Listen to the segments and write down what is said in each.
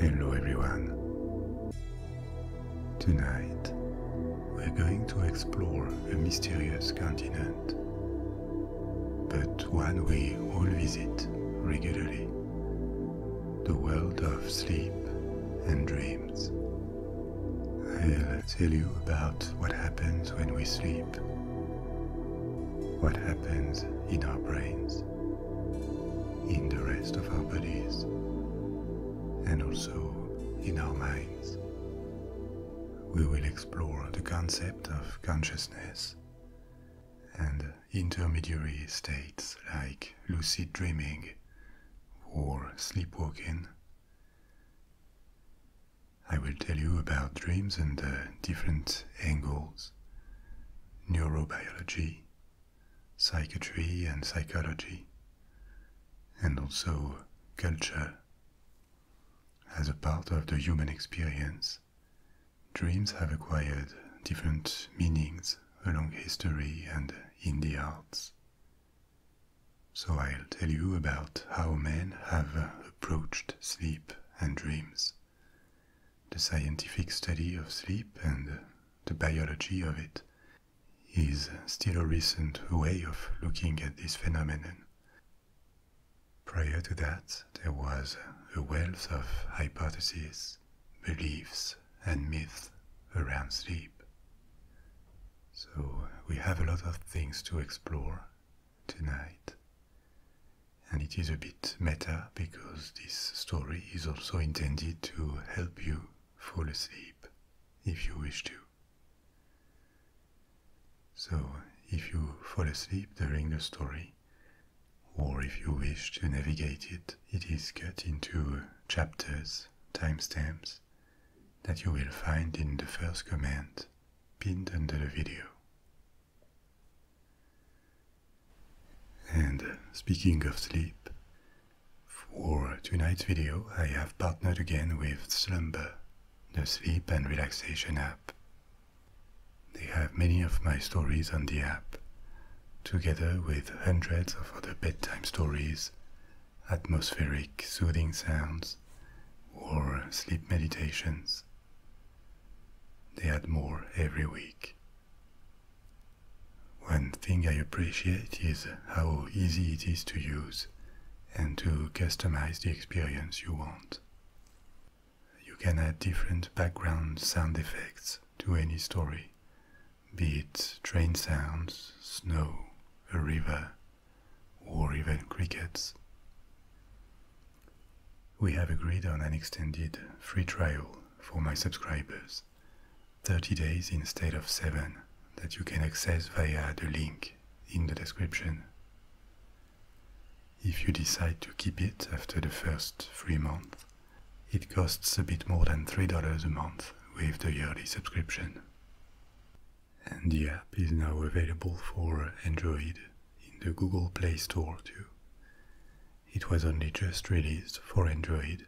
Hello everyone. Tonight, we're going to explore a mysterious continent, but one we all visit regularly the world of sleep and dreams. I'll tell you about what happens when we sleep, what happens in our brains, in the rest of our bodies, and also in our minds. We will explore the concept of consciousness and intermediary states like lucid dreaming or sleepwalking. I will tell you about dreams and the different angles, neurobiology, psychiatry and psychology, and also culture as a part of the human experience Dreams have acquired different meanings along history and in the arts. So I'll tell you about how men have approached sleep and dreams, the scientific study of sleep and the biology of it is still a recent way of looking at this phenomenon. Prior to that, there was a wealth of hypotheses, beliefs, and myths around sleep. So we have a lot of things to explore tonight. And it is a bit meta because this story is also intended to help you fall asleep if you wish to. So, if you fall asleep during the story, or if you wish to navigate it, it is cut into chapters, timestamps, that you will find in the first comment pinned under the video. And uh, speaking of sleep, for tonight's video I have partnered again with Slumber, the sleep and relaxation app they have many of my stories on the app, together with hundreds of other bedtime stories, atmospheric soothing sounds, or sleep meditations. They add more every week. One thing I appreciate is how easy it is to use and to customize the experience you want. You can add different background sound effects to any story, be it train sounds, snow, a river, or even crickets. We have agreed on an extended free trial for my subscribers, 30 days instead of 7, that you can access via the link in the description if you decide to keep it after the first three months. It costs a bit more than $3 a month with the yearly subscription. And the app is now available for Android in the Google Play Store too. It was only just released for Android,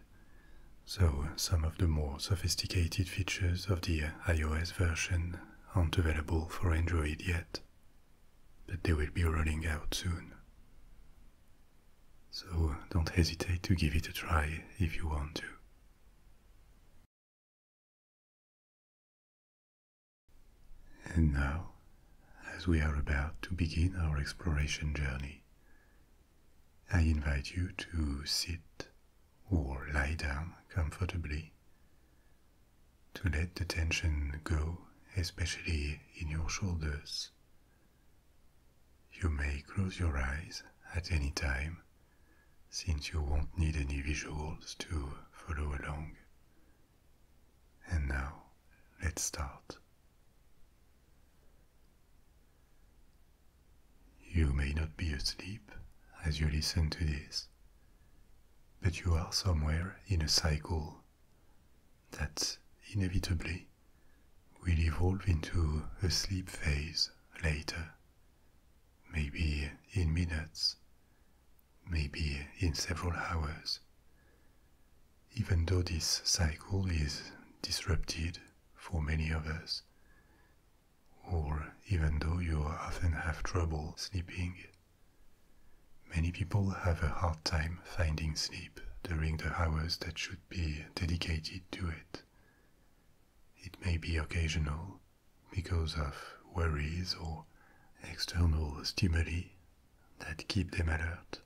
so some of the more sophisticated features of the iOS version aren't available for Android yet but they will be running out soon. So don't hesitate to give it a try if you want to. And now, as we are about to begin our exploration journey, I invite you to sit or lie down comfortably to let the tension go especially in your shoulders. You may close your eyes at any time, since you won't need any visuals to follow along. And now, let's start. You may not be asleep as you listen to this, but you are somewhere in a cycle that inevitably will evolve into a sleep phase later, maybe in minutes, maybe in several hours. Even though this cycle is disrupted for many of us, or even though you often have trouble sleeping Many people have a hard time finding sleep during the hours that should be dedicated to it. It may be occasional because of worries or external stimuli that keep them alert,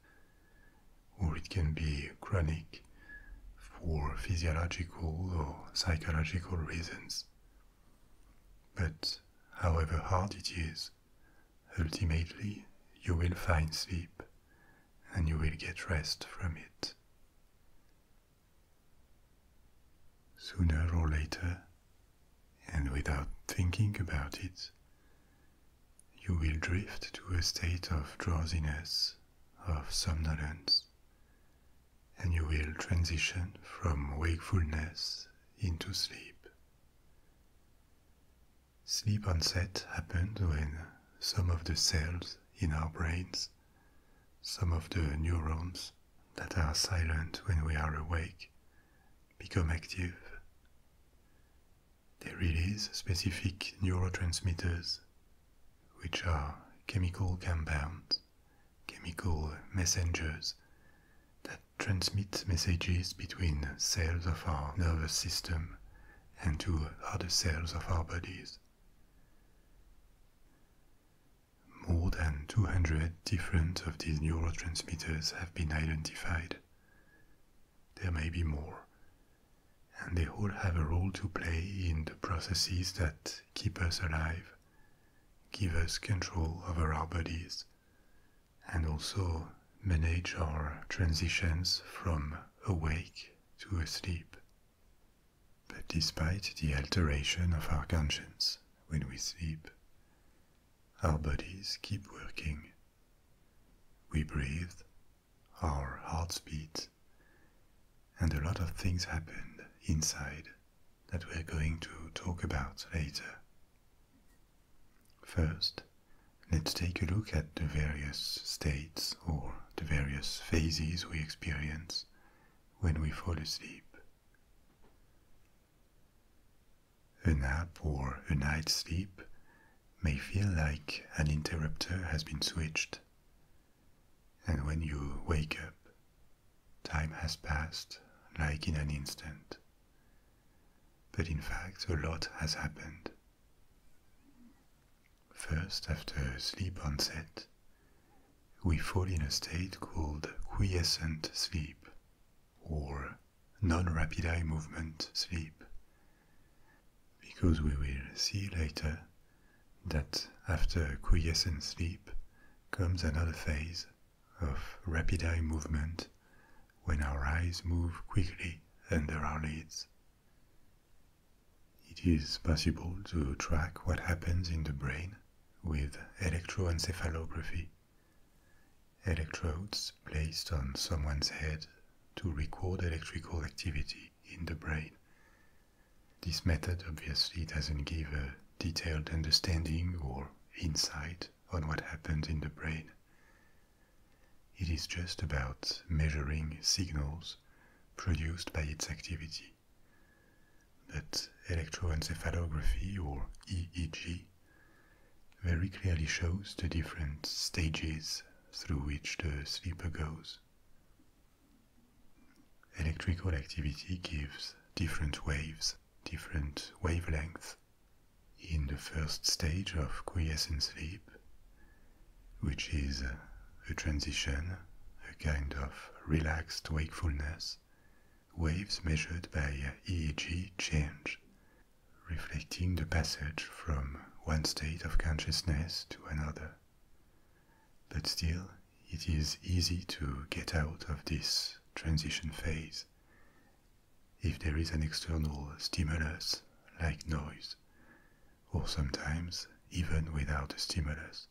or it can be chronic for physiological or psychological reasons. But however hard it is, ultimately you will find sleep and you will get rest from it. Sooner or later, and without thinking about it, you will drift to a state of drowsiness, of somnolence, and you will transition from wakefulness into sleep. Sleep onset happens when some of the cells in our brains, some of the neurons that are silent when we are awake, become active. They release specific neurotransmitters, which are chemical compounds, chemical messengers transmit messages between cells of our nervous system and to other cells of our bodies. More than 200 different of these neurotransmitters have been identified. There may be more, and they all have a role to play in the processes that keep us alive, give us control over our bodies, and also manage our transitions from awake to asleep. But despite the alteration of our conscience when we sleep, our bodies keep working. We breathe, our hearts beat, and a lot of things happen inside that we're going to talk about later. First, let's take a look at the various states or the various phases we experience when we fall asleep. A nap or a night's sleep may feel like an interrupter has been switched. And when you wake up, time has passed like in an instant, but in fact, a lot has happened. First, after sleep onset, we fall in a state called quiescent sleep or non-rapid eye movement sleep because we will see later that after quiescent sleep comes another phase of rapid eye movement when our eyes move quickly under our lids. It is possible to track what happens in the brain with electroencephalography, electrodes placed on someone's head to record electrical activity in the brain. This method obviously doesn't give a detailed understanding or insight on what happens in the brain. It is just about measuring signals produced by its activity. But electroencephalography, or EEG, very clearly shows the different stages through which the sleeper goes. Electrical activity gives different waves, different wavelengths, in the first stage of quiescent sleep, which is a transition, a kind of relaxed wakefulness, waves measured by EEG change, reflecting the passage from one state of consciousness to another. But still, it is easy to get out of this transition phase if there is an external stimulus like noise, or sometimes even without a stimulus.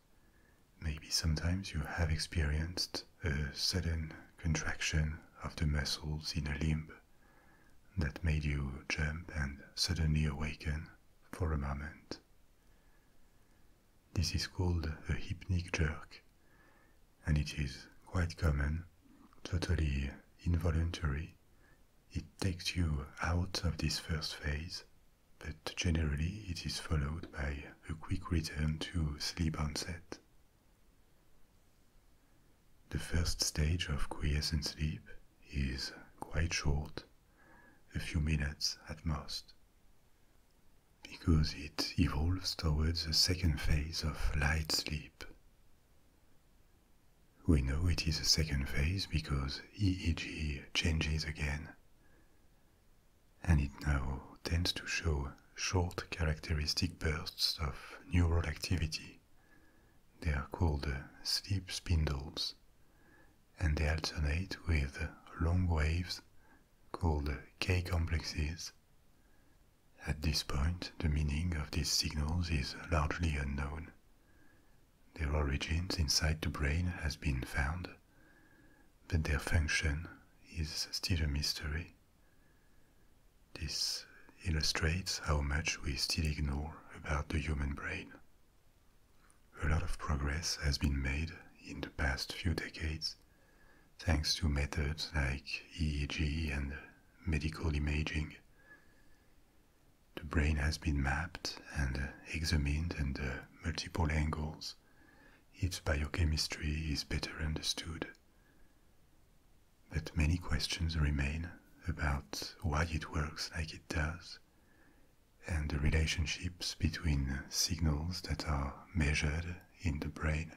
Maybe sometimes you have experienced a sudden contraction of the muscles in a limb that made you jump and suddenly awaken for a moment. This is called a hypnic jerk, and it is quite common, totally involuntary. It takes you out of this first phase, but generally it is followed by a quick return to sleep onset. The first stage of quiescent sleep is quite short, a few minutes at most, because it evolves towards the second phase of light sleep, we know it is a second phase because EEG changes again, and it now tends to show short characteristic bursts of neural activity. They are called sleep spindles, and they alternate with long waves called K complexes at this point, the meaning of these signals is largely unknown. Their origins inside the brain has been found, but their function is still a mystery. This illustrates how much we still ignore about the human brain. A lot of progress has been made in the past few decades thanks to methods like EEG and medical imaging. The brain has been mapped and uh, examined under uh, multiple angles. Its biochemistry is better understood. But many questions remain about why it works like it does and the relationships between signals that are measured in the brain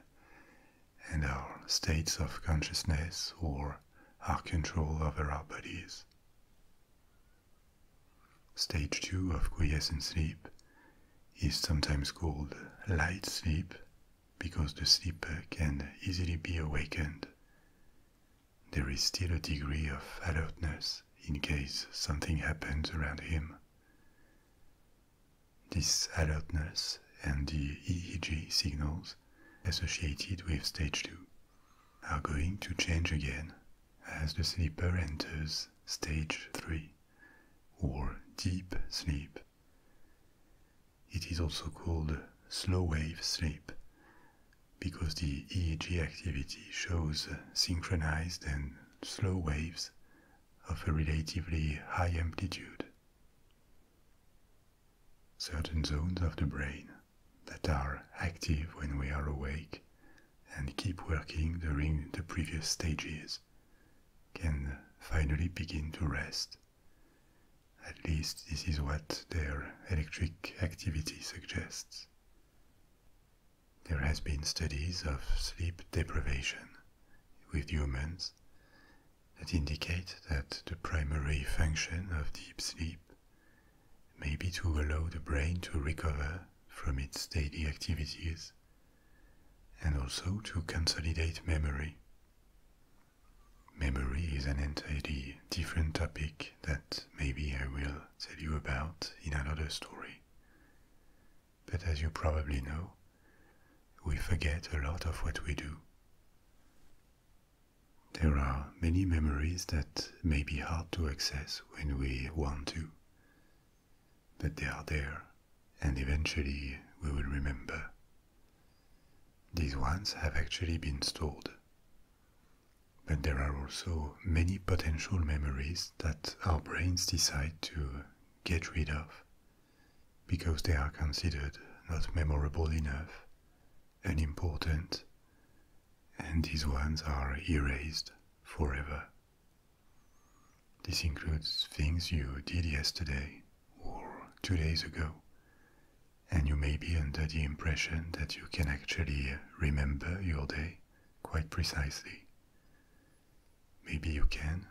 and our states of consciousness or our control over our bodies. Stage 2 of quiescent sleep is sometimes called light sleep because the sleeper can easily be awakened. There is still a degree of alertness in case something happens around him. This alertness and the EEG signals associated with stage 2 are going to change again as the sleeper enters stage 3 or deep sleep. It is also called slow wave sleep because the EEG activity shows synchronized and slow waves of a relatively high amplitude. Certain zones of the brain that are active when we are awake and keep working during the previous stages can finally begin to rest. At least this is what their electric activity suggests. There has been studies of sleep deprivation with humans that indicate that the primary function of deep sleep may be to allow the brain to recover from its daily activities and also to consolidate memory. Memory is an entirely different topic that maybe I will tell you about in another story. But as you probably know, we forget a lot of what we do. There are many memories that may be hard to access when we want to, but they are there, and eventually we will remember. These ones have actually been stored. But there are also many potential memories that our brains decide to get rid of because they are considered not memorable enough, and important. and these ones are erased forever. This includes things you did yesterday or two days ago, and you may be under the impression that you can actually remember your day quite precisely. Maybe you can,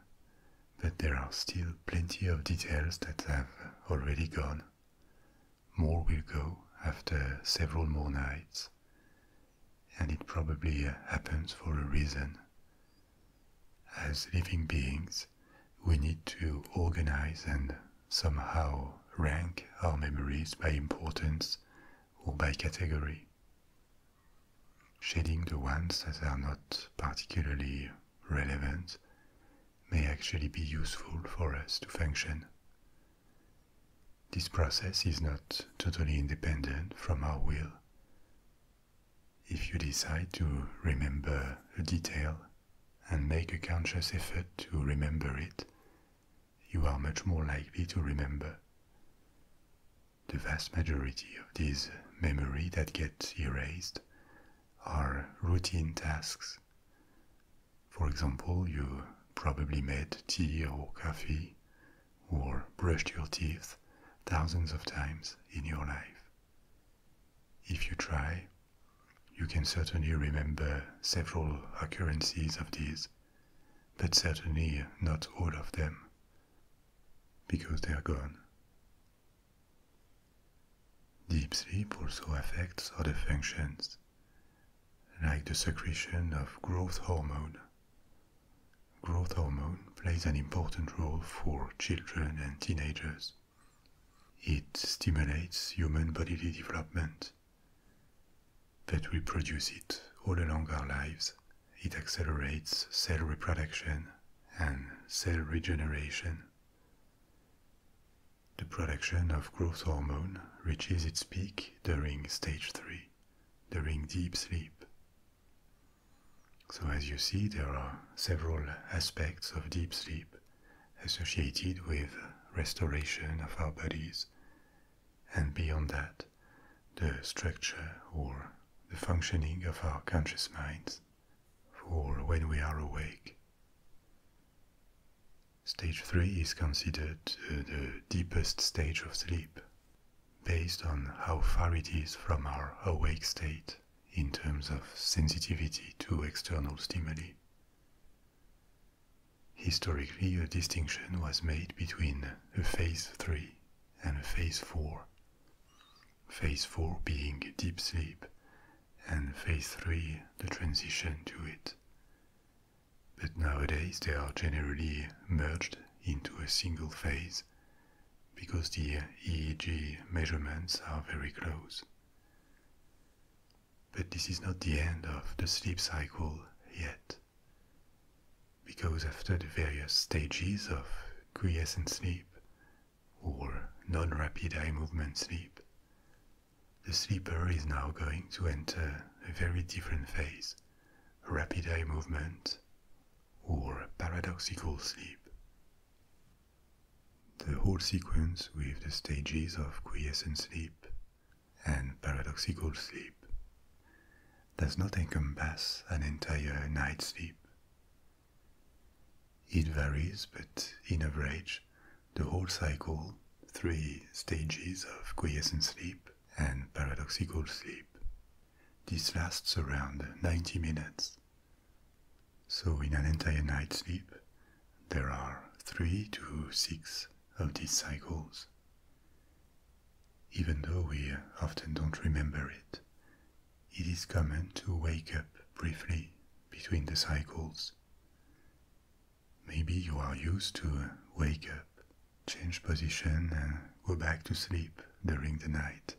but there are still plenty of details that have already gone more will go after several more nights, and it probably uh, happens for a reason. As living beings, we need to organize and somehow rank our memories by importance or by category, shading the ones that are not particularly relevant may actually be useful for us to function. This process is not totally independent from our will. If you decide to remember a detail and make a conscious effort to remember it, you are much more likely to remember. The vast majority of these memory that get erased are routine tasks. For example, you probably made tea or coffee or brushed your teeth thousands of times in your life. If you try, you can certainly remember several occurrences of these, but certainly not all of them, because they are gone. Deep sleep also affects other functions, like the secretion of growth hormone. Growth hormone plays an important role for children and teenagers. It stimulates human bodily development, That we produce it all along our lives. It accelerates cell reproduction and cell regeneration. The production of growth hormone reaches its peak during stage 3, during deep sleep. So, as you see, there are several aspects of deep sleep associated with restoration of our bodies, and beyond that, the structure or the functioning of our conscious minds for when we are awake. Stage 3 is considered uh, the deepest stage of sleep, based on how far it is from our awake state in terms of sensitivity to external stimuli. Historically, a distinction was made between a phase 3 and a phase 4. Phase 4 being deep sleep and phase three the transition to it. But nowadays they are generally merged into a single phase because the EEG measurements are very close. But this is not the end of the sleep cycle yet, because after the various stages of quiescent sleep, or non-rapid eye movement sleep, the sleeper is now going to enter a very different phase, rapid eye movement or paradoxical sleep. The whole sequence with the stages of quiescent sleep and paradoxical sleep does not encompass an entire night's sleep. It varies, but in average, the whole cycle, three stages of quiescent sleep and paradoxical sleep, this lasts around 90 minutes. So, in an entire night's sleep, there are three to six of these cycles. Even though we often don't remember it, it is common to wake up briefly between the cycles Maybe you are used to wake up, change position, and go back to sleep during the night.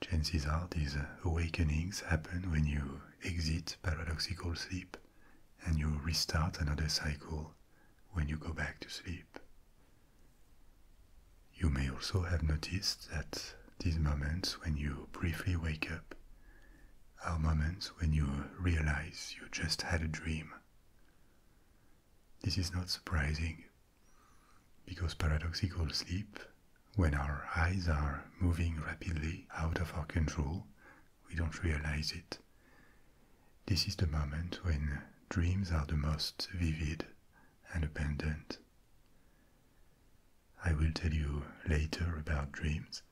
Chances are these awakenings happen when you exit paradoxical sleep and you restart another cycle when you go back to sleep. You may also have noticed that these moments when you briefly wake up are moments when you realize you just had a dream. This is not surprising because paradoxical sleep, when our eyes are moving rapidly out of our control, we don't realize it. This is the moment when dreams are the most vivid and abundant. I will tell you later about dreams.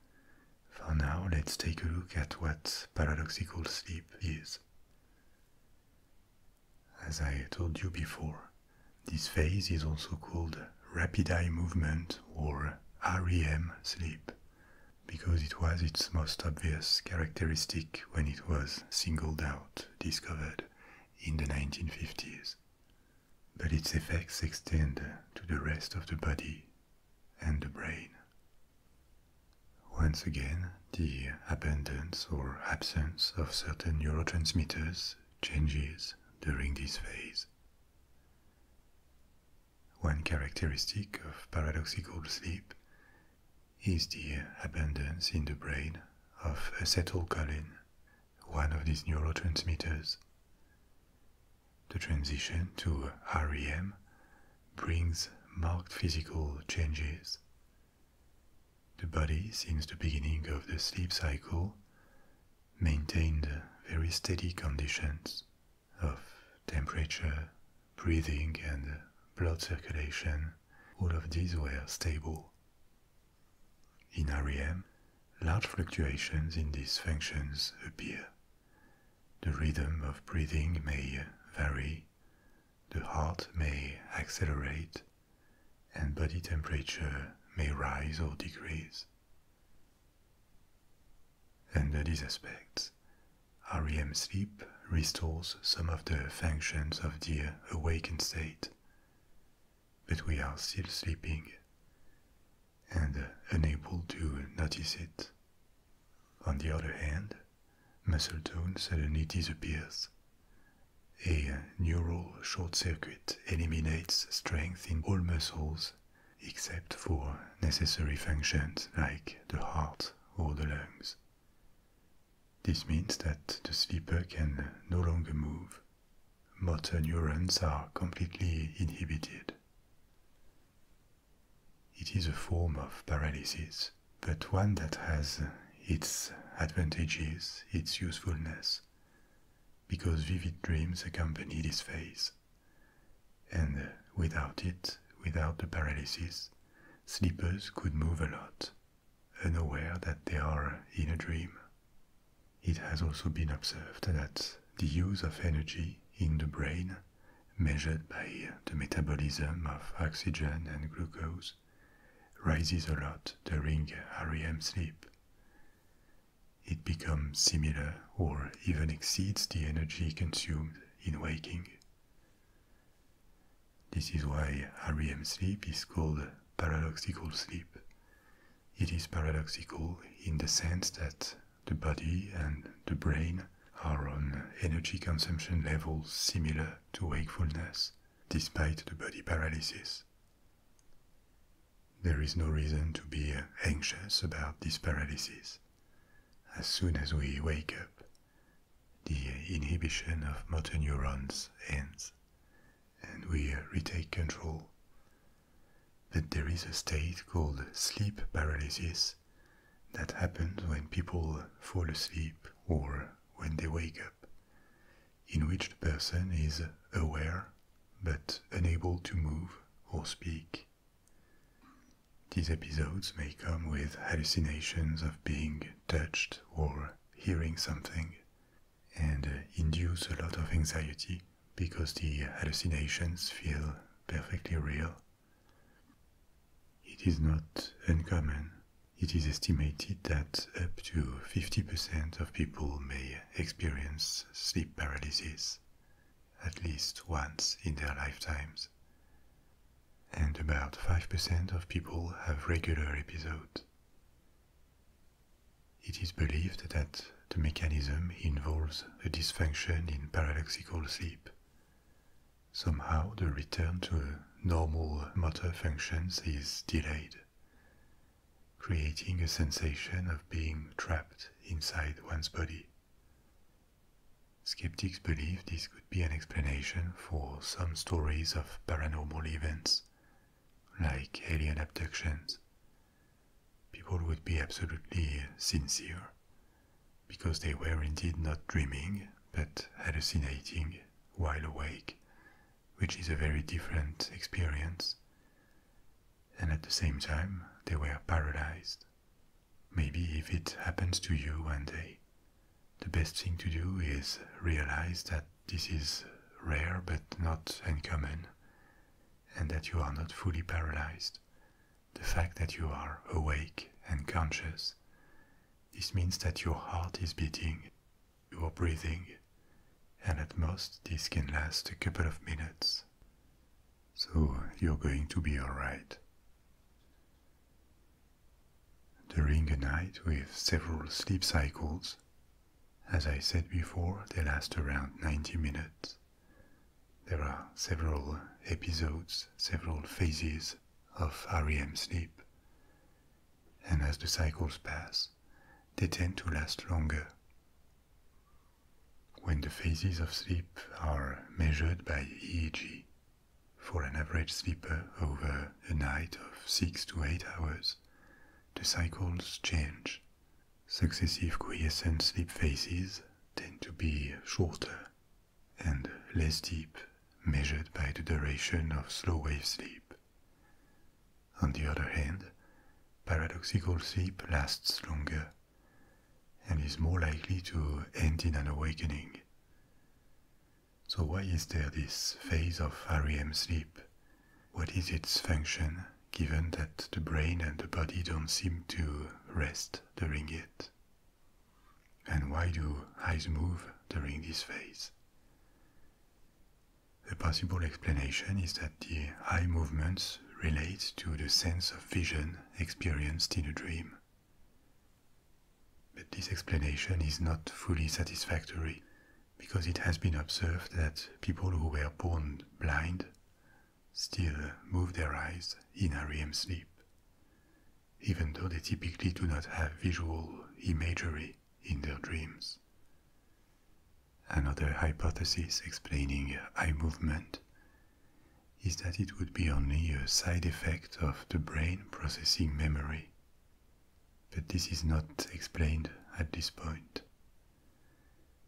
For now, let's take a look at what paradoxical sleep is. As I told you before, this phase is also called rapid eye movement or REM sleep because it was its most obvious characteristic when it was singled out, discovered in the 1950s but its effects extend to the rest of the body and the brain. Once again, the abundance or absence of certain neurotransmitters changes during this phase. One characteristic of paradoxical sleep is the abundance in the brain of acetylcholine, one of these neurotransmitters, the transition to REM brings marked physical changes. The body, since the beginning of the sleep cycle, maintained very steady conditions of temperature, breathing, and blood circulation. All of these were stable. In REM, large fluctuations in these functions appear. The rhythm of breathing may vary, the heart may accelerate, and body temperature may rise or decrease. Under these aspects, REM sleep restores some of the functions of the awakened state, but we are still sleeping and uh, unable to notice it. On the other hand, muscle tone suddenly disappears. A uh, neural short circuit eliminates strength in all muscles except for necessary functions like the heart or the lungs. This means that the sleeper can no longer move motor neurons are completely inhibited. It is a form of paralysis, but one that has its advantages, its usefulness, because vivid dreams accompany this phase. And without it, without the paralysis, sleepers could move a lot, unaware that they are in a dream it has also been observed that the use of energy in the brain, measured by the metabolism of oxygen and glucose, rises a lot during REM sleep. It becomes similar or even exceeds the energy consumed in waking. This is why REM sleep is called paradoxical sleep, it is paradoxical in the sense that the body and the brain are on energy consumption levels similar to wakefulness, despite the body paralysis. There is no reason to be anxious about this paralysis. As soon as we wake up, the inhibition of motor neurons ends, and we retake control. But there is a state called sleep paralysis that happens when people fall asleep or when they wake up, in which the person is aware but unable to move or speak. These episodes may come with hallucinations of being touched or hearing something, and uh, induce a lot of anxiety because the hallucinations feel perfectly real. It is not uncommon. It is estimated that up to 50% of people may experience sleep paralysis at least once in their lifetimes. And about 5% of people have regular episodes. It is believed that the mechanism involves a dysfunction in paradoxical sleep. Somehow, the return to normal motor functions is delayed, creating a sensation of being trapped inside one's body. Skeptics believe this could be an explanation for some stories of paranormal events, like alien abductions, people would be absolutely sincere, because they were indeed not dreaming, but hallucinating while awake, which is a very different experience. And at the same time, they were paralyzed. Maybe if it happens to you one day, the best thing to do is realize that this is rare but not uncommon, and that you are not fully paralyzed, the fact that you are awake and conscious. This means that your heart is beating, you are breathing, and at most this can last a couple of minutes. So you're going to be alright. During a night with several sleep cycles, as I said before, they last around 90 minutes. There are several episodes, several phases of REM sleep. And as the cycles pass, they tend to last longer. When the phases of sleep are measured by EEG, for an average sleeper over a night of 6 to 8 hours, the cycles change Successive quiescent sleep phases tend to be shorter and less deep, measured by the duration of slow wave sleep. On the other hand, paradoxical sleep lasts longer and is more likely to end in an awakening. So, why is there this phase of REM sleep what is its function given that the brain and the body don't seem to rest during it? And why do eyes move during this phase? A possible explanation is that the eye movements relate to the sense of vision experienced in a dream. But this explanation is not fully satisfactory because it has been observed that people who were born blind still move their eyes in REM sleep, even though they typically do not have visual imagery in their dreams. Another hypothesis explaining eye movement is that it would be only a side effect of the brain processing memory, but this is not explained at this point.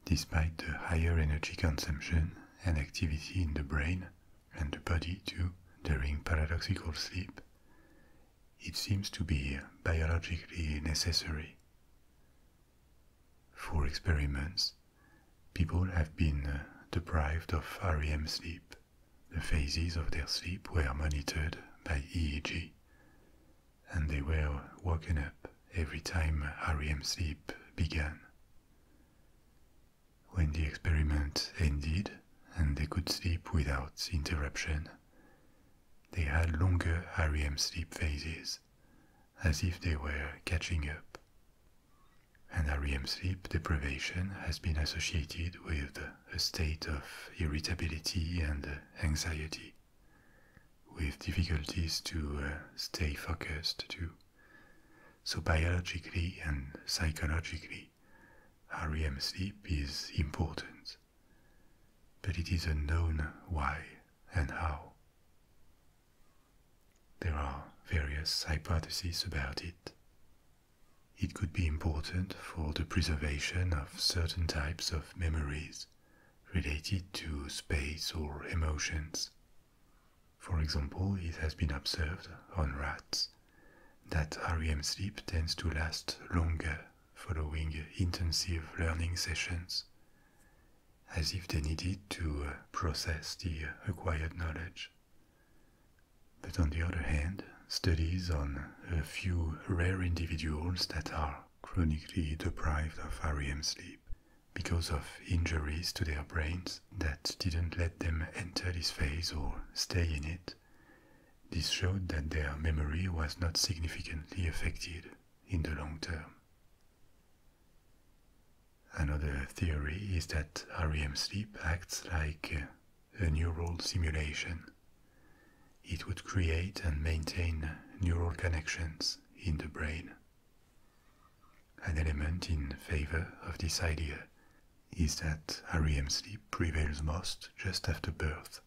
Despite the higher energy consumption and activity in the brain and the body too during paradoxical sleep, it seems to be biologically necessary. For experiments, people have been uh, deprived of REM sleep. The phases of their sleep were monitored by EEG, and they were woken up every time REM sleep began. When the experiment ended and they could sleep without interruption, they had longer REM sleep phases, as if they were catching up. And REM sleep deprivation has been associated with a state of irritability and anxiety with difficulties to uh, stay focused too. So biologically and psychologically, REM sleep is important, but it is unknown why and how. There are various hypotheses about it. It could be important for the preservation of certain types of memories related to space or emotions. For example, it has been observed on rats that REM sleep tends to last longer following intensive learning sessions, as if they needed to uh, process the acquired knowledge. But on the other hand, studies on a few rare individuals that are chronically deprived of REM sleep because of injuries to their brains that didn't let them enter this phase or stay in it. This showed that their memory was not significantly affected in the long term. Another theory is that REM sleep acts like a neural simulation. It would create and maintain neural connections in the brain. An element in favor of this idea is that REM sleep prevails most just after birth,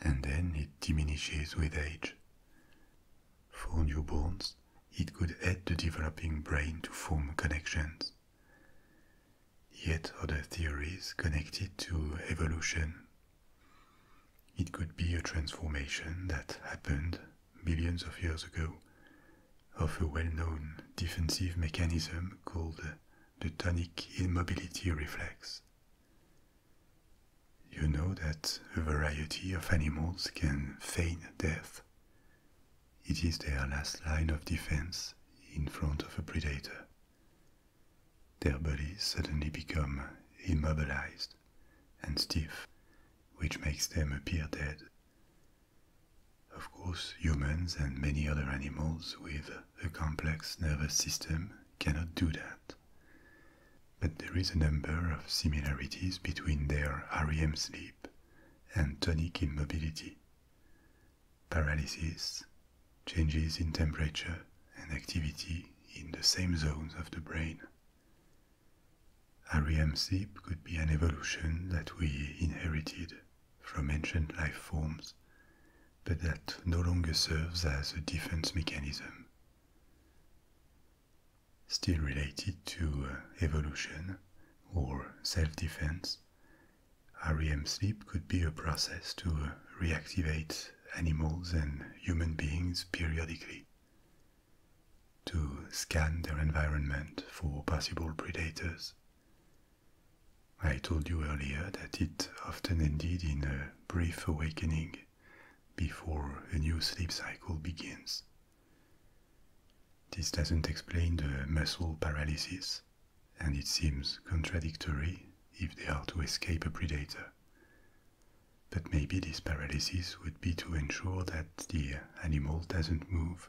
and then it diminishes with age. For newborns, it could aid the developing brain to form connections. Yet other theories connected to evolution it could be a transformation that happened billions of years ago of a well known defensive mechanism called the tonic immobility reflex. You know that a variety of animals can feign death. It is their last line of defense in front of a predator. Their bodies suddenly become immobilized and stiff, which makes them appear dead. Of course, humans and many other animals with a complex nervous system cannot do that. But there is a number of similarities between their REM sleep and tonic immobility. Paralysis, changes in temperature and activity in the same zones of the brain. REM sleep could be an evolution that we inherited from ancient life forms, but that no longer serves as a defense mechanism. Still related to uh, evolution or self-defense, REM sleep could be a process to reactivate animals and human beings periodically to scan their environment for possible predators. I told you earlier that it often ended in a brief awakening before a new sleep cycle begins. This doesn't explain the muscle paralysis, and it seems contradictory if they are to escape a predator. But maybe this paralysis would be to ensure that the animal doesn't move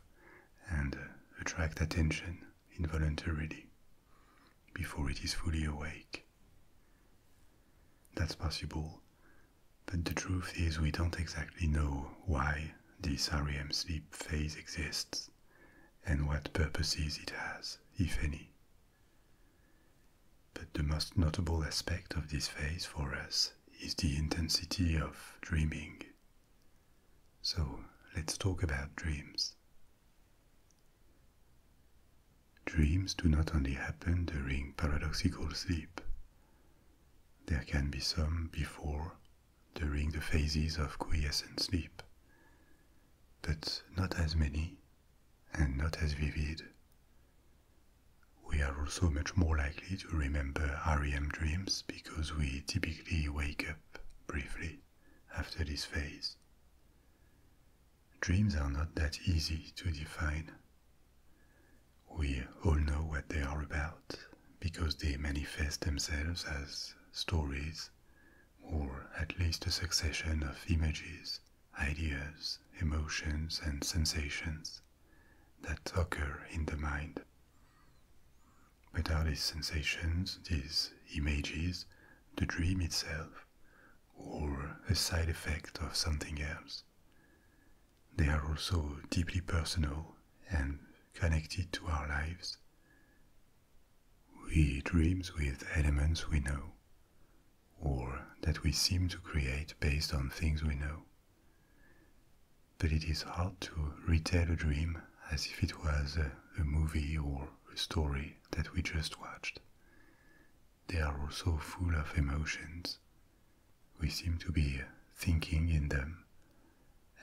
and uh, attract attention involuntarily before it is fully awake. That's possible, but the truth is we don't exactly know why this REM sleep phase exists and what purposes it has, if any. But the most notable aspect of this phase for us is the intensity of dreaming. So let's talk about dreams. Dreams do not only happen during paradoxical sleep. There can be some before, during the phases of quiescent sleep, but not as many and not as vivid. We are also much more likely to remember REM dreams because we typically wake up briefly after this phase. Dreams are not that easy to define. We all know what they are about because they manifest themselves as stories or at least a succession of images, ideas, emotions, and sensations that occur in the mind. But are these sensations, these images, the dream itself, or a side effect of something else? They are also deeply personal and connected to our lives. We dream with elements we know, or that we seem to create based on things we know. But it is hard to retell a dream as if it was a, movie or a story that we just watched. They are also full of emotions. We seem to be thinking in them,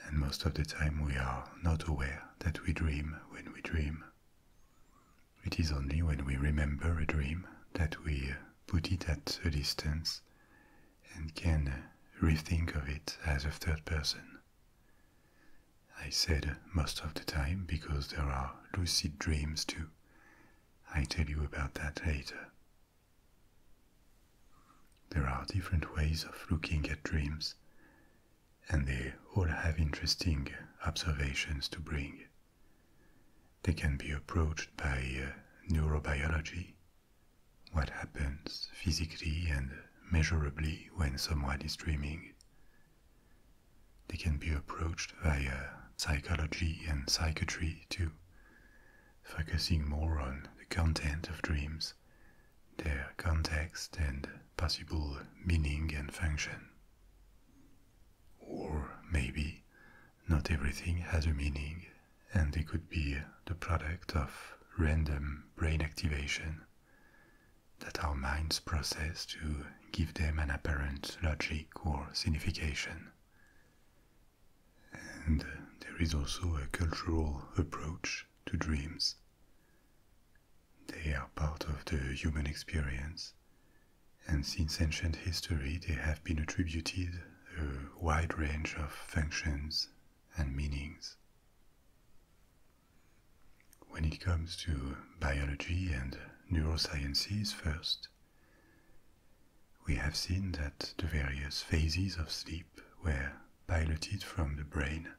and most of the time we are not aware that we dream when we dream. It is only when we remember a dream that we put it at a distance and can rethink of it as a third person. I said most of the time because there are lucid dreams too. I tell you about that later. There are different ways of looking at dreams, and they all have interesting observations to bring. They can be approached by uh, neurobiology, what happens physically and measurably when someone is dreaming. They can be approached via uh, psychology and psychiatry too, focusing more on the content of dreams, their context and possible meaning and function. Or maybe not everything has a meaning, and it could be the product of random brain activation that our minds process to give them an apparent logic or signification. And there is also a cultural approach to dreams. They are part of the human experience and since ancient history they have been attributed a wide range of functions and meanings. When it comes to biology and neurosciences first, we have seen that the various phases of sleep were piloted from the brain,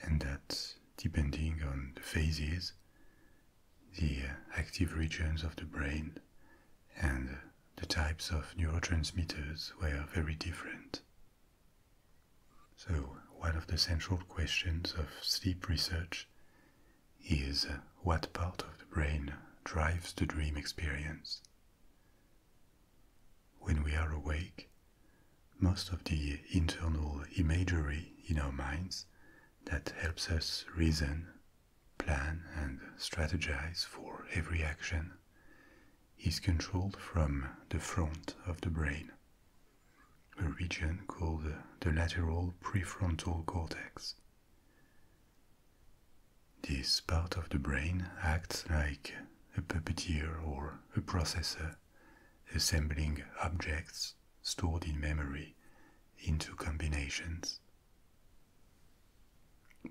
and that depending on the phases, the uh, active regions of the brain, and the types of neurotransmitters were very different. So, one of the central questions of sleep research is uh, what part of the brain drives the dream experience. When we are awake, most of the internal imagery in our minds that helps us reason plan and strategize for every action, is controlled from the front of the brain, a region called the lateral prefrontal cortex. This part of the brain acts like a puppeteer or a processor, assembling objects stored in memory into combinations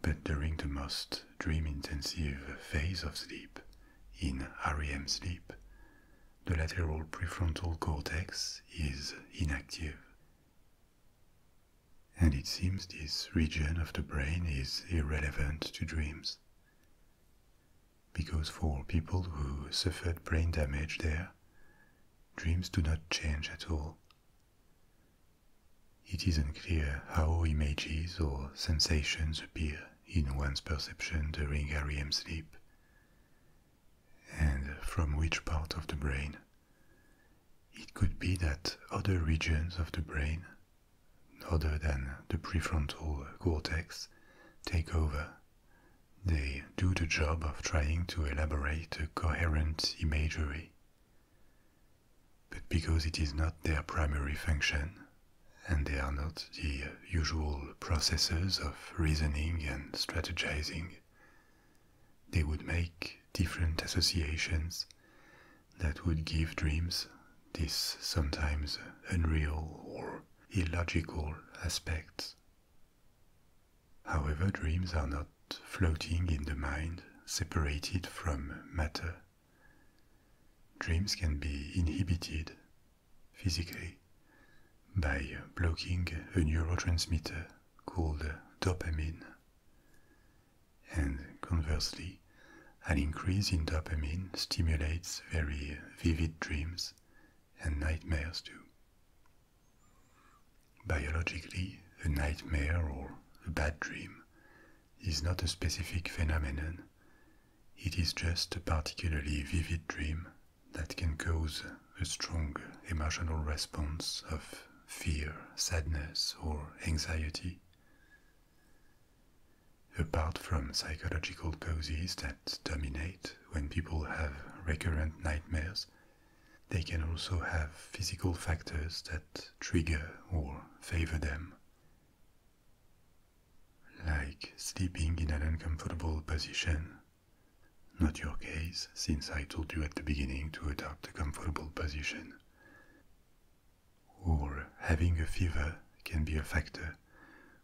but during the most dream intensive phase of sleep, in REM sleep, the lateral prefrontal cortex is inactive. And it seems this region of the brain is irrelevant to dreams. Because for people who suffered brain damage there, dreams do not change at all. It is unclear how images or sensations appear in one's perception during REM sleep, and from which part of the brain. It could be that other regions of the brain, other than the prefrontal cortex, take over they do the job of trying to elaborate a coherent imagery. But because it is not their primary function, and they are not the usual processes of reasoning and strategizing, they would make different associations that would give dreams this sometimes unreal or illogical aspect. However, dreams are not floating in the mind, separated from matter. Dreams can be inhibited physically by blocking a neurotransmitter called dopamine. And conversely, an increase in dopamine stimulates very vivid dreams and nightmares too. Biologically, a nightmare or a bad dream is not a specific phenomenon. It is just a particularly vivid dream that can cause a strong emotional response of fear, sadness, or anxiety. Apart from psychological causes that dominate when people have recurrent nightmares, they can also have physical factors that trigger or favor them, like sleeping in an uncomfortable position. Not your case, since I told you at the beginning to adopt a comfortable position. Or having a fever can be a factor,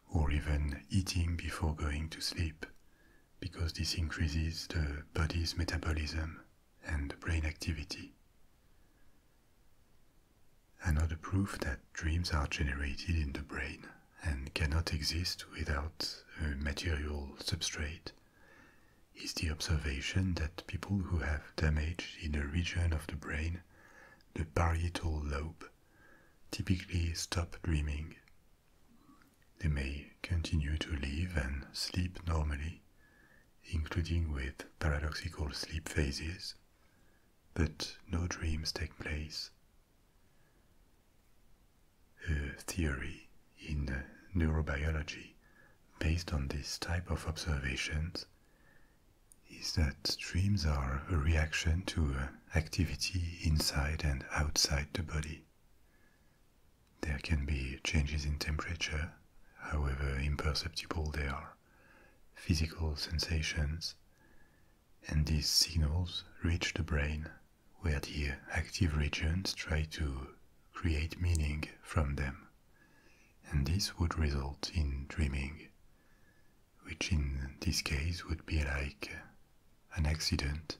or even eating before going to sleep, because this increases the body's metabolism and brain activity. Another proof that dreams are generated in the brain and cannot exist without a material substrate is the observation that people who have damage in a region of the brain, the parietal lobe, typically stop dreaming they may continue to live and sleep normally, including with paradoxical sleep phases, but no dreams take place. A theory in neurobiology based on this type of observations is that dreams are a reaction to uh, activity inside and outside the body. There can be changes in temperature, however imperceptible they are, physical sensations, and these signals reach the brain, where the active regions try to create meaning from them. And this would result in dreaming, which in this case would be like an accident.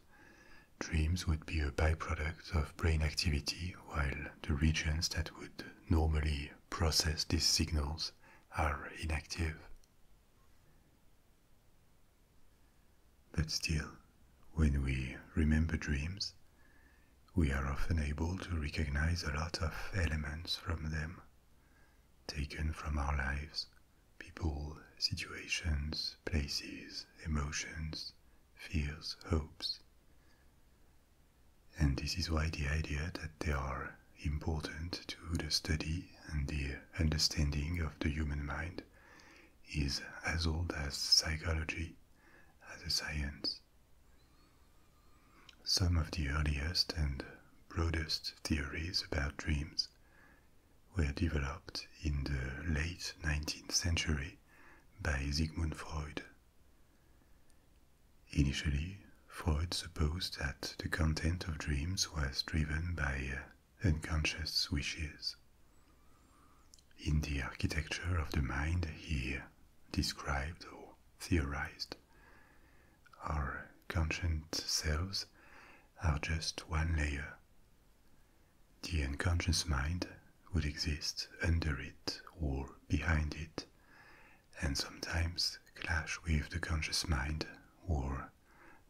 Dreams would be a byproduct of brain activity, while the regions that would normally process these signals are inactive. But still, when we remember dreams, we are often able to recognize a lot of elements from them, taken from our lives, people, situations, places, emotions, fears, hopes. And this is why the idea that they are important to the study and the understanding of the human mind is as old as psychology as a science. Some of the earliest and broadest theories about dreams were developed in the late 19th century by Sigmund Freud. Initially, Freud supposed that the content of dreams was driven by uh, unconscious wishes. In the architecture of the mind, he described or theorized our conscious selves are just one layer, the unconscious mind would exist under it or behind it, and sometimes clash with the conscious mind or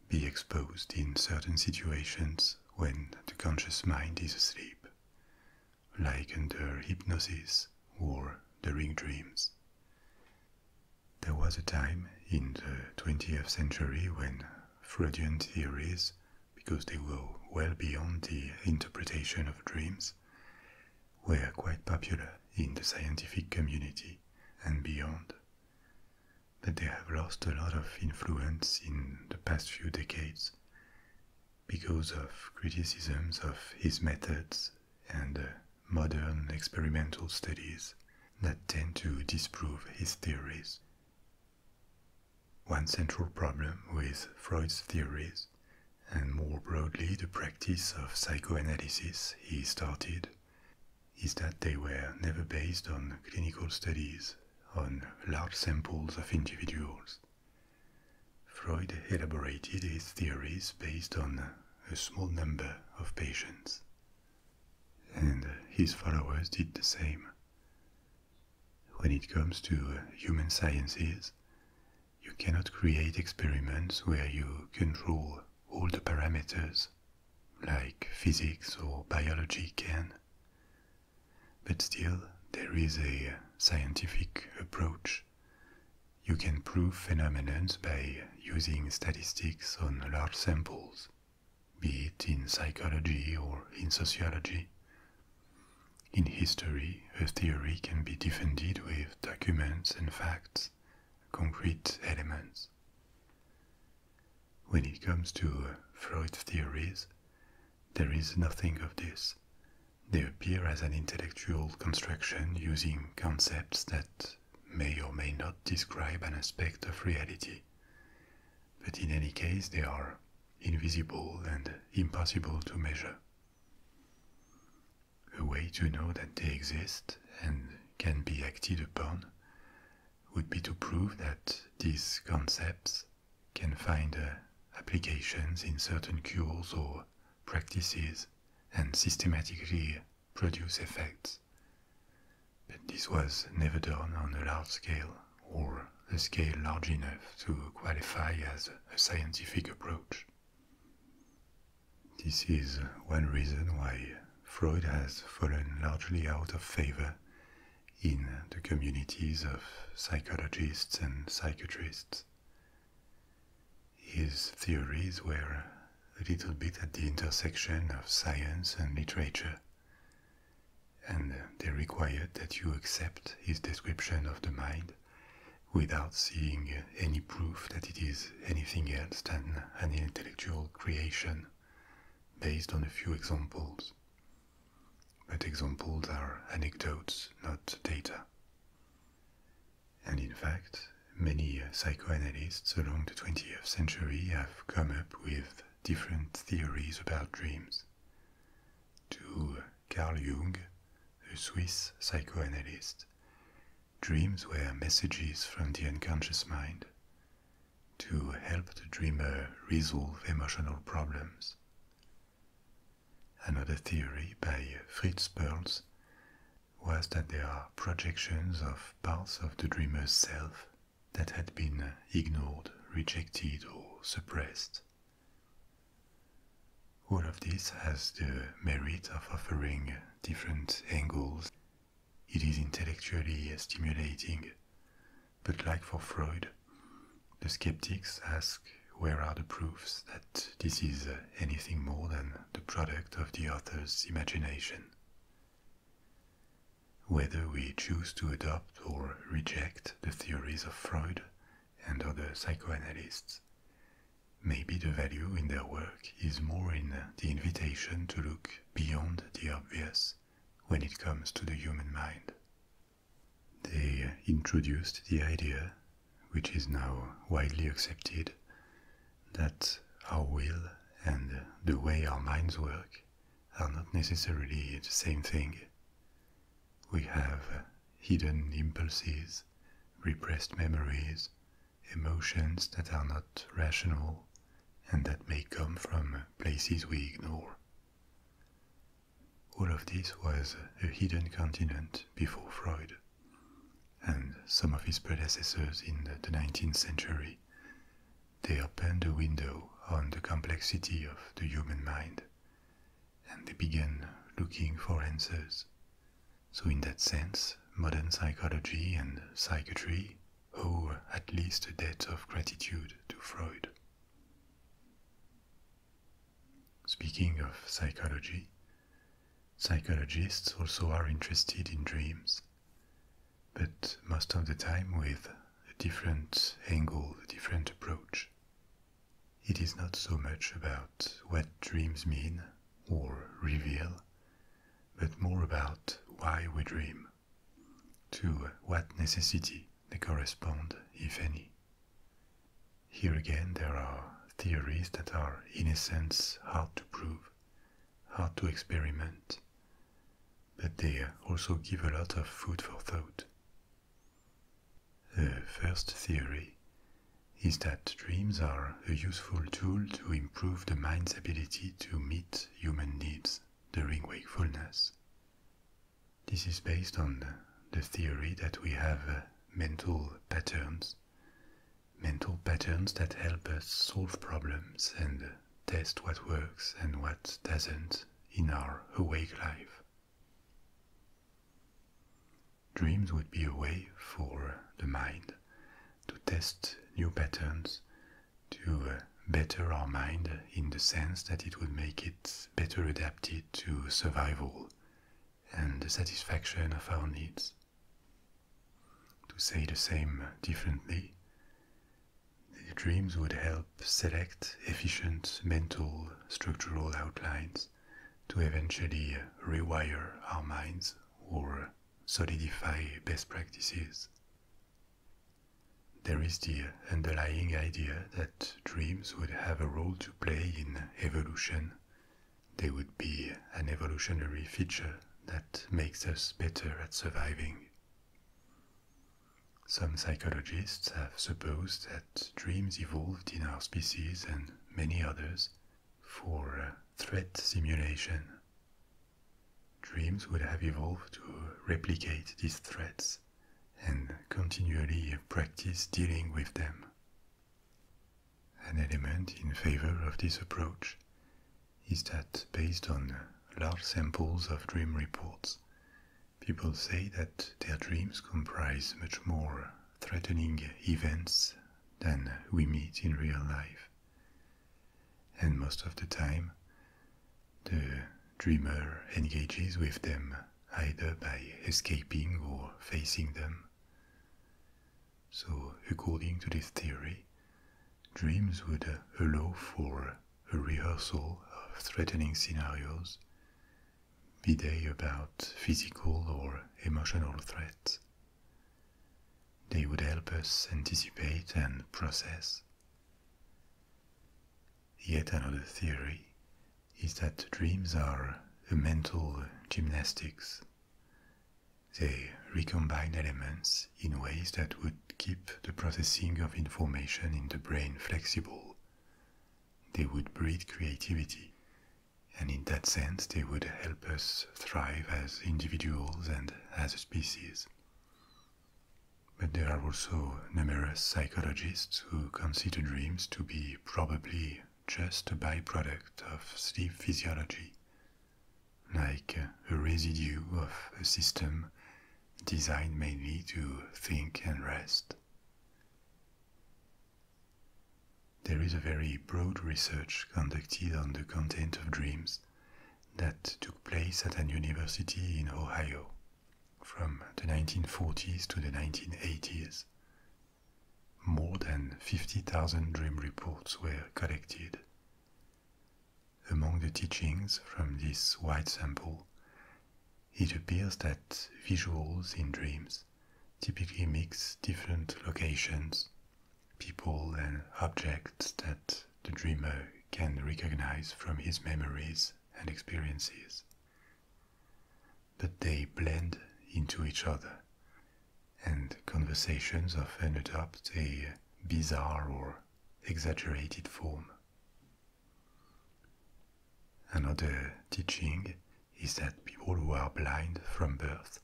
be exposed in certain situations when the conscious mind is asleep, like under hypnosis or during dreams. There was a time in the 20th century when Freudian theories because they go well beyond the interpretation of dreams were quite popular in the scientific community and beyond, but they have lost a lot of influence in the past few decades because of criticisms of his methods and uh, modern experimental studies that tend to disprove his theories. One central problem with Freud's theories, and more broadly the practice of psychoanalysis he started, is that they were never based on clinical studies on large samples of individuals. Freud elaborated his theories based on a small number of patients, and his followers did the same. When it comes to human sciences, you cannot create experiments where you control all the parameters, like physics or biology can. But still, there is a scientific approach. You can prove phenomena by using statistics on large samples be it in psychology or in sociology. In history, a theory can be defended with documents and facts, concrete elements. When it comes to uh, Freud's theories, there is nothing of this. They appear as an intellectual construction using concepts that may or may not describe an aspect of reality but in any case, they are invisible and impossible to measure. A way to know that they exist and can be acted upon would be to prove that these concepts can find uh, applications in certain cures or practices and systematically produce effects. But this was never done on a large scale or a scale large enough to qualify as a scientific approach. This is one reason why Freud has fallen largely out of favor in the communities of psychologists and psychiatrists. His theories were a little bit at the intersection of science and literature, and uh, they require that you accept his description of the mind without seeing uh, any proof that it is anything else than an intellectual creation based on a few examples. But examples are anecdotes, not data. And in fact, many uh, psychoanalysts along the 20th century have come up with different theories about dreams. To Carl Jung, the Swiss psychoanalyst, dreams were messages from the unconscious mind to help the dreamer resolve emotional problems. Another theory by Fritz Perls was that they are projections of parts of the dreamer's self that had been ignored, rejected, or suppressed. All of this has the merit of offering different angles. It is intellectually stimulating, but like for Freud, the skeptics ask where are the proofs that this is anything more than the product of the author's imagination whether we choose to adopt or reject the theories of Freud and other psychoanalysts. Maybe the value in their work is more in the invitation to look beyond the obvious when it comes to the human mind. They introduced the idea, which is now widely accepted, that our will and the way our minds work are not necessarily the same thing. We have hidden impulses, repressed memories, emotions that are not rational and that may come from places we ignore. All of this was a hidden continent before Freud, and some of his predecessors in the 19th century. They opened a window on the complexity of the human mind and they began looking for answers. So, in that sense, modern psychology and psychiatry owe at least a debt of gratitude to Freud. Speaking of psychology, psychologists also are interested in dreams, but most of the time with a different angle, a different approach. It is not so much about what dreams mean or reveal, but more about why we dream, to what necessity they correspond, if any. Here again, there are theories that are, in a sense, hard to prove, hard to experiment, but they also give a lot of food for thought the first theory is that dreams are a useful tool to improve the mind's ability to meet human needs during wakefulness. This is based on the theory that we have uh, mental patterns, mental patterns that help us solve problems and test what works and what doesn't in our awake life. Dreams would be a way for the mind to test new patterns, to uh, better our mind in the sense that it would make it better adapted to survival and the satisfaction of our needs. To say the same differently, these dreams would help select efficient mental structural outlines to eventually rewire our minds or solidify best practices. There is the underlying idea that dreams would have a role to play in evolution. They would be an evolutionary feature that makes us better at surviving. Some psychologists have supposed that dreams evolved in our species and many others for uh, threat simulation. Dreams would have evolved to replicate these threats and continually practice dealing with them. An element in favor of this approach is that based on large samples of dream reports, People say that their dreams comprise much more threatening events than we meet in real life. And most of the time, the dreamer engages with them either by escaping or facing them. So, according to this theory, dreams would allow for a rehearsal of threatening scenarios be they about physical or emotional threats. They would help us anticipate and process. Yet another theory is that dreams are a mental gymnastics. They recombine elements in ways that would keep the processing of information in the brain flexible they would breed creativity. And in that sense, they would help us thrive as individuals and as a species. But there are also numerous psychologists who consider dreams to be probably just a byproduct of sleep physiology, like a residue of a system designed mainly to think and rest. There is a very broad research conducted on the content of dreams that took place at an university in Ohio from the 1940s to the 1980s. More than 50,000 dream reports were collected. Among the teachings from this wide sample, it appears that visuals in dreams typically mix different locations, people, and objects that the dreamer can recognize from his memories and experiences. But they blend into each other, and conversations often adopt a bizarre or exaggerated form. Another teaching is that people who are blind from birth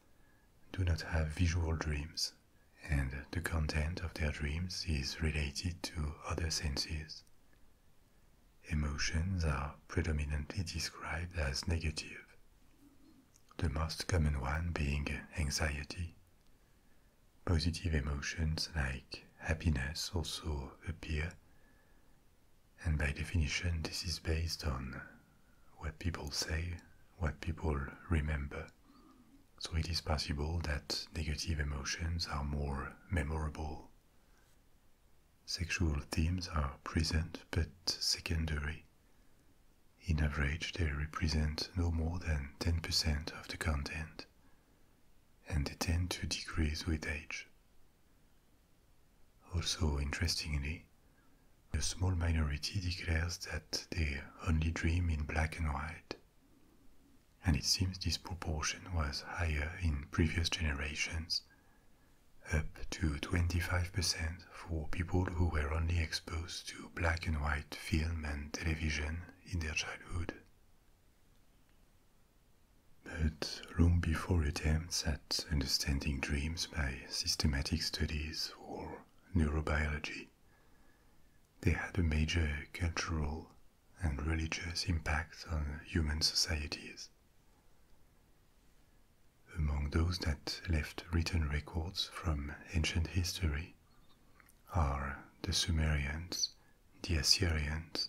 do not have visual dreams, and the content of their dreams is related to other senses. Emotions are predominantly described as negative, the most common one being anxiety. Positive emotions like happiness also appear and by definition, this is based on what people say, what people remember. So it is possible that negative emotions are more memorable. Sexual themes are present but secondary. In average, they represent no more than 10% of the content, and they tend to decrease with age. Also, interestingly, a small minority declares that they only dream in black and white, and it seems this proportion was higher in previous generations, up to 25% for people who were only exposed to black and white film and television in their childhood. But long before attempts at understanding dreams by systematic studies or neurobiology, they had a major cultural and religious impact on human societies. Among those that left written records from ancient history are the Sumerians the Assyrians,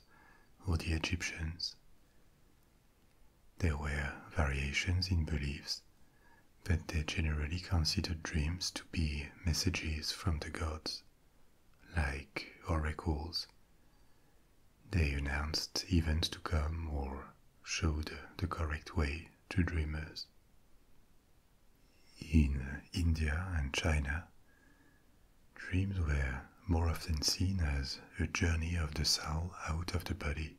or the Egyptians. There were variations in beliefs, but they generally considered dreams to be messages from the gods, like oracles. They announced events to come or showed the correct way to dreamers. In India and China, Dreams were more often seen as a journey of the soul out of the body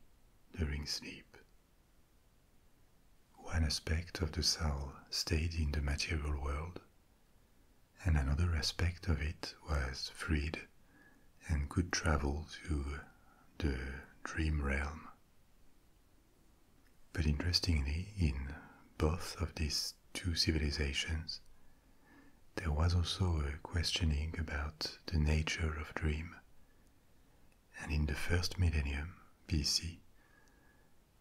during sleep. One aspect of the soul stayed in the material world, and another aspect of it was freed and could travel to the dream realm. But interestingly, in both of these two civilizations, there was also a questioning about the nature of dream. And in the first millennium BC,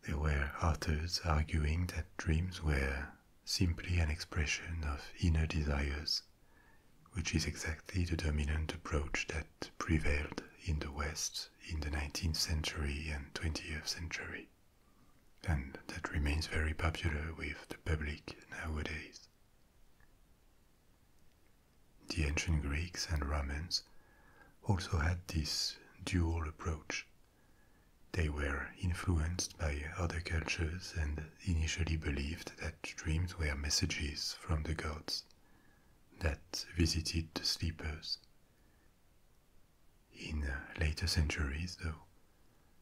there were authors arguing that dreams were simply an expression of inner desires, which is exactly the dominant approach that prevailed in the West in the 19th century and 20th century and that remains very popular with the public nowadays. The ancient Greeks and Romans also had this dual approach. They were influenced by other cultures and initially believed that dreams were messages from the gods that visited the sleepers. In later centuries, though,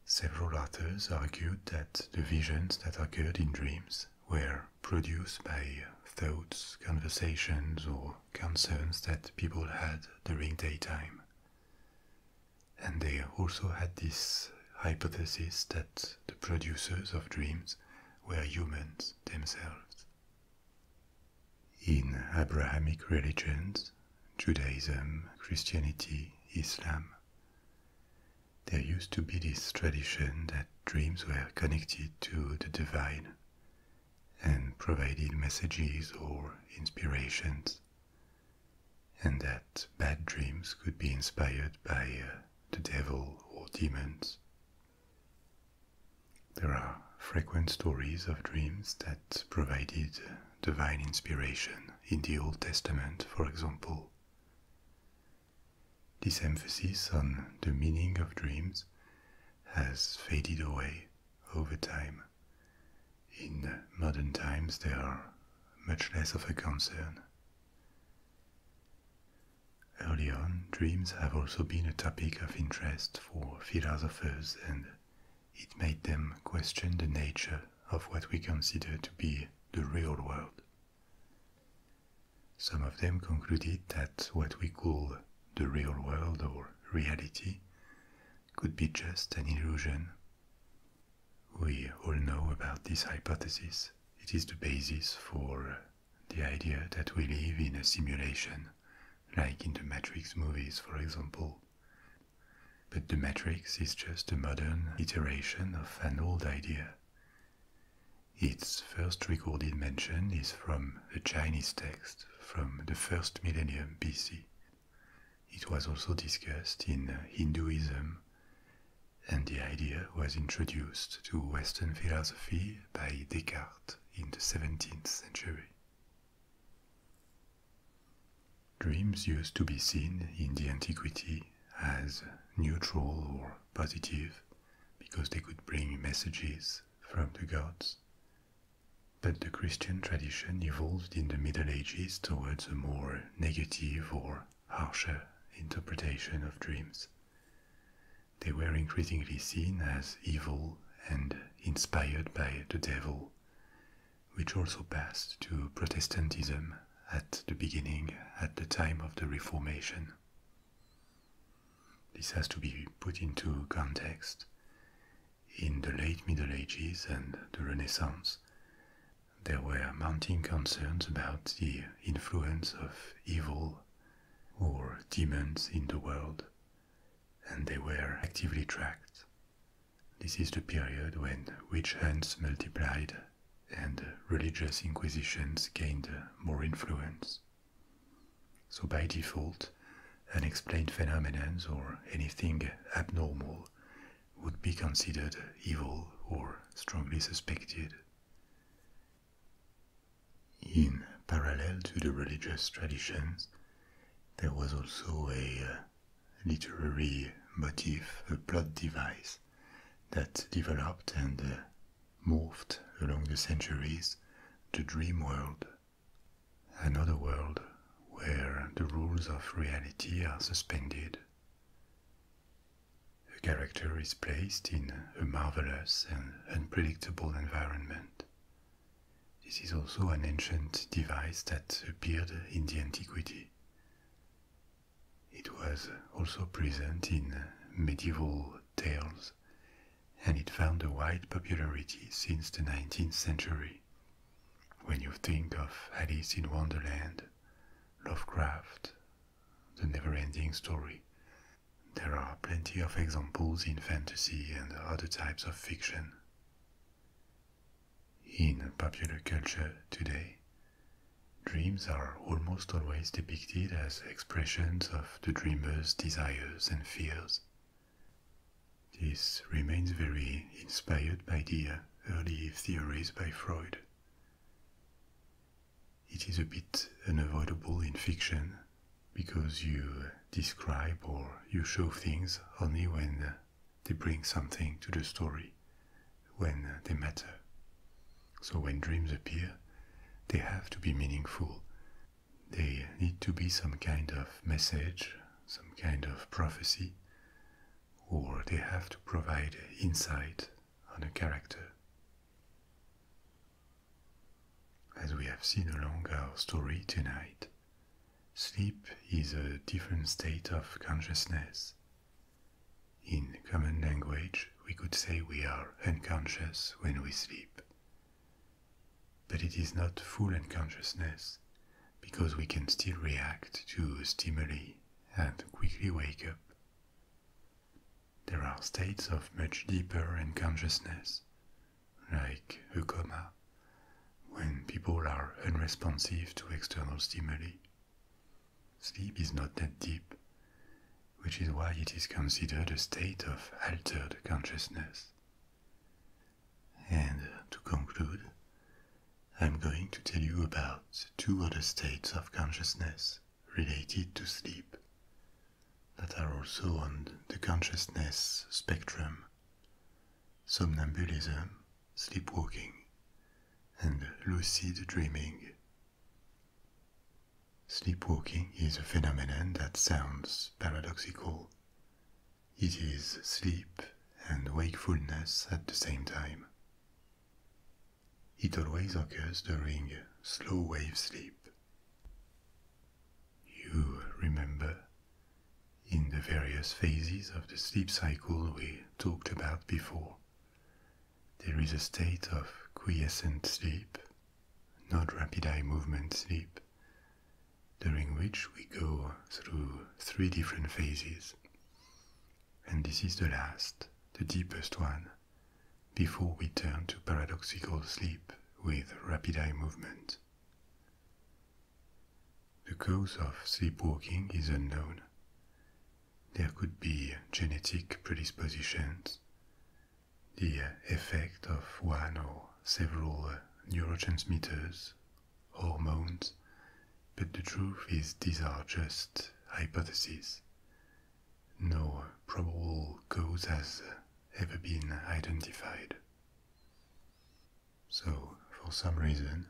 several authors argued that the visions that occurred in dreams were produced by thoughts, conversations, or concerns that people had during daytime. And they also had this hypothesis that the producers of dreams were humans themselves. In Abrahamic religions, Judaism, Christianity, Islam. There used to be this tradition that dreams were connected to the divine and provided messages or inspirations, and that bad dreams could be inspired by uh, the devil or demons. There are frequent stories of dreams that provided divine inspiration in the Old Testament, for example. This emphasis on the meaning of dreams has faded away over time. In modern times, they are much less of a concern. Early on, dreams have also been a topic of interest for philosophers and it made them question the nature of what we consider to be the real world. Some of them concluded that what we call the real world or reality could be just an illusion. We all know about this hypothesis. It is the basis for the idea that we live in a simulation, like in the Matrix movies, for example, but the matrix is just a modern iteration of an old idea. Its first recorded mention is from a Chinese text from the first millennium BC. It was also discussed in Hinduism, and the idea was introduced to Western philosophy by Descartes in the 17th century. Dreams used to be seen in the antiquity as neutral or positive because they could bring messages from the gods. But the Christian tradition evolved in the Middle Ages towards a more negative or harsher interpretation of dreams. They were increasingly seen as evil and inspired by the devil, which also passed to Protestantism at the beginning, at the time of the Reformation. This has to be put into context. In the late Middle Ages and the Renaissance, there were mounting concerns about the influence of evil or demons in the world, and they were actively tracked. This is the period when witch hunts multiplied and religious inquisitions gained more influence. So, by default, unexplained phenomena or anything abnormal would be considered evil or strongly suspected. In parallel to the religious traditions, there was also a uh, literary motif, a plot device that developed and uh, morphed along the centuries the dream world, another world where the rules of reality are suspended. A character is placed in a marvelous and unpredictable environment. This is also an ancient device that appeared in the antiquity. It was also present in medieval tales, and it found a wide popularity since the 19th century. When you think of Alice in Wonderland, Lovecraft, the never-ending story, there are plenty of examples in fantasy and other types of fiction. In popular culture today, dreams are almost always depicted as expressions of the dreamer's desires and fears. This remains very inspired by the early theories by Freud. It is a bit unavoidable in fiction because you describe or you show things only when they bring something to the story when uh, they matter. So when dreams appear, they have to be meaningful. They need to be some kind of message, some kind of prophecy, or they have to provide insight on a character. As we have seen along our story tonight, Sleep is a different state of consciousness. In common language, we could say we are unconscious when we sleep. But it is not full unconsciousness because we can still react to stimuli and quickly wake up. There are states of much deeper unconsciousness, like a coma, when people are unresponsive to external stimuli. Sleep is not that deep, which is why it is considered a state of altered consciousness. And to conclude, I'm going to tell you about two other states of consciousness related to sleep that are also on the consciousness spectrum somnambulism sleepwalking, and lucid dreaming. Sleepwalking is a phenomenon that sounds paradoxical. It is sleep and wakefulness at the same time. It always occurs during slow wave sleep. You remember in the various phases of the sleep cycle we talked about before. There is a state of quiescent sleep, not rapid eye movement sleep, during which we go through three different phases. And this is the last, the deepest one, before we turn to paradoxical sleep with rapid eye movement. The cause of sleepwalking is unknown. There could be genetic predispositions, the effect of one or several neurotransmitters, hormones, but the truth is these are just hypotheses. No probable cause has ever been identified. So, for some reason,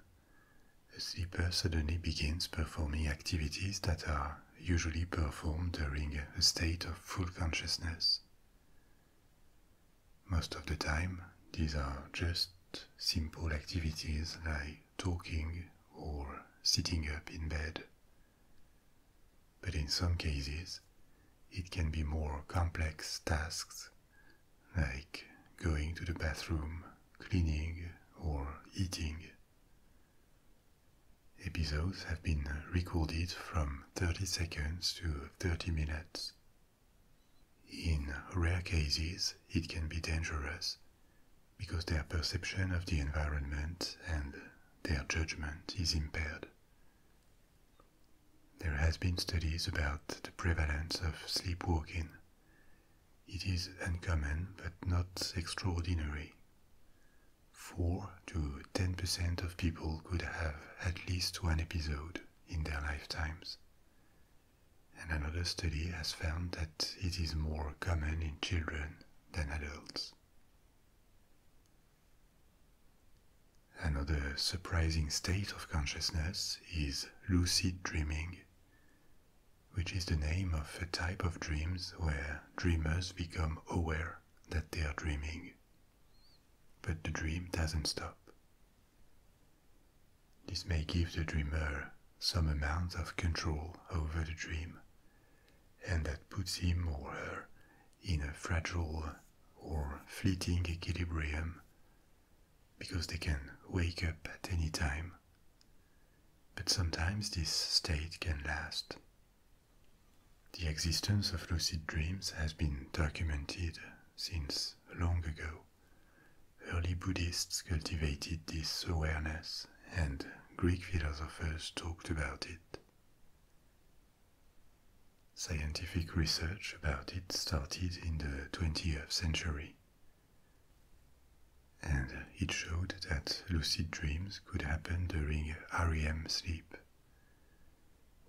a sleeper suddenly begins performing activities that are usually performed during a state of full consciousness. Most of the time, these are just simple activities like talking or sitting up in bed. But in some cases, it can be more complex tasks like going to the bathroom, cleaning, or eating. Episodes have been recorded from 30 seconds to 30 minutes. In rare cases, it can be dangerous because their perception of the environment and their judgment is impaired. There has been studies about the prevalence of sleepwalking it is uncommon but not extraordinary. 4 to 10% of people could have at least one episode in their lifetimes. And another study has found that it is more common in children than adults. Another surprising state of consciousness is lucid dreaming which is the name of a type of dreams where dreamers become aware that they are dreaming. But the dream doesn't stop. This may give the dreamer some amount of control over the dream, and that puts him or her in a fragile or fleeting equilibrium because they can wake up at any time. But sometimes this state can last. The existence of lucid dreams has been documented since long ago. Early Buddhists cultivated this awareness, and Greek philosophers talked about it. Scientific research about it started in the 20th century and it showed that lucid dreams could happen during REM sleep.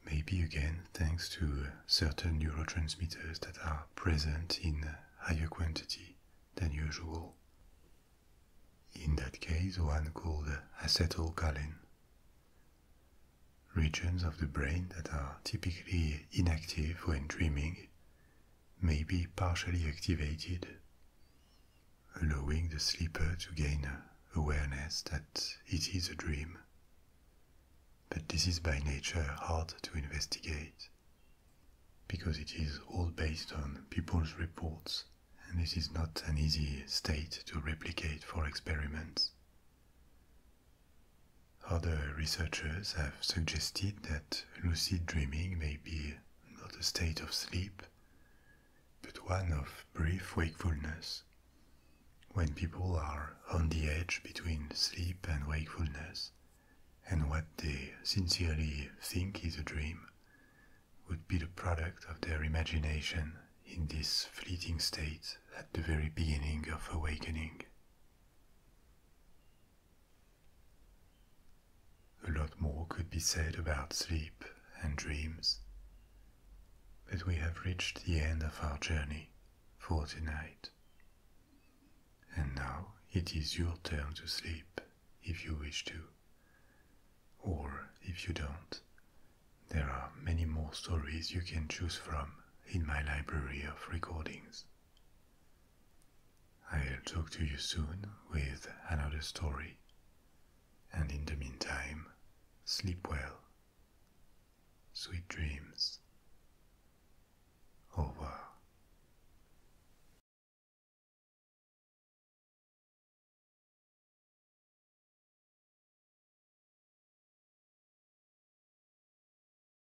Maybe again thanks to certain neurotransmitters that are present in higher quantity than usual. In that case, one called acetylcholine. Regions of the brain that are typically inactive when dreaming may be partially activated, allowing the sleeper to gain awareness that it is a dream. But this is by nature hard to investigate because it is all based on people's reports and this is not an easy state to replicate for experiments. Other researchers have suggested that lucid dreaming may be not a state of sleep, but one of brief wakefulness, when people are on the edge between sleep and wakefulness, and what they sincerely think is a dream would be the product of their imagination in this fleeting state at the very beginning of awakening. A lot more could be said about sleep and dreams, but we have reached the end of our journey for tonight. And now it is your turn to sleep if you wish to, or if you don't. There are many more stories you can choose from in my library of recordings. I'll talk to you soon with another story, and in the meantime, sleep well. Sweet dreams. Over.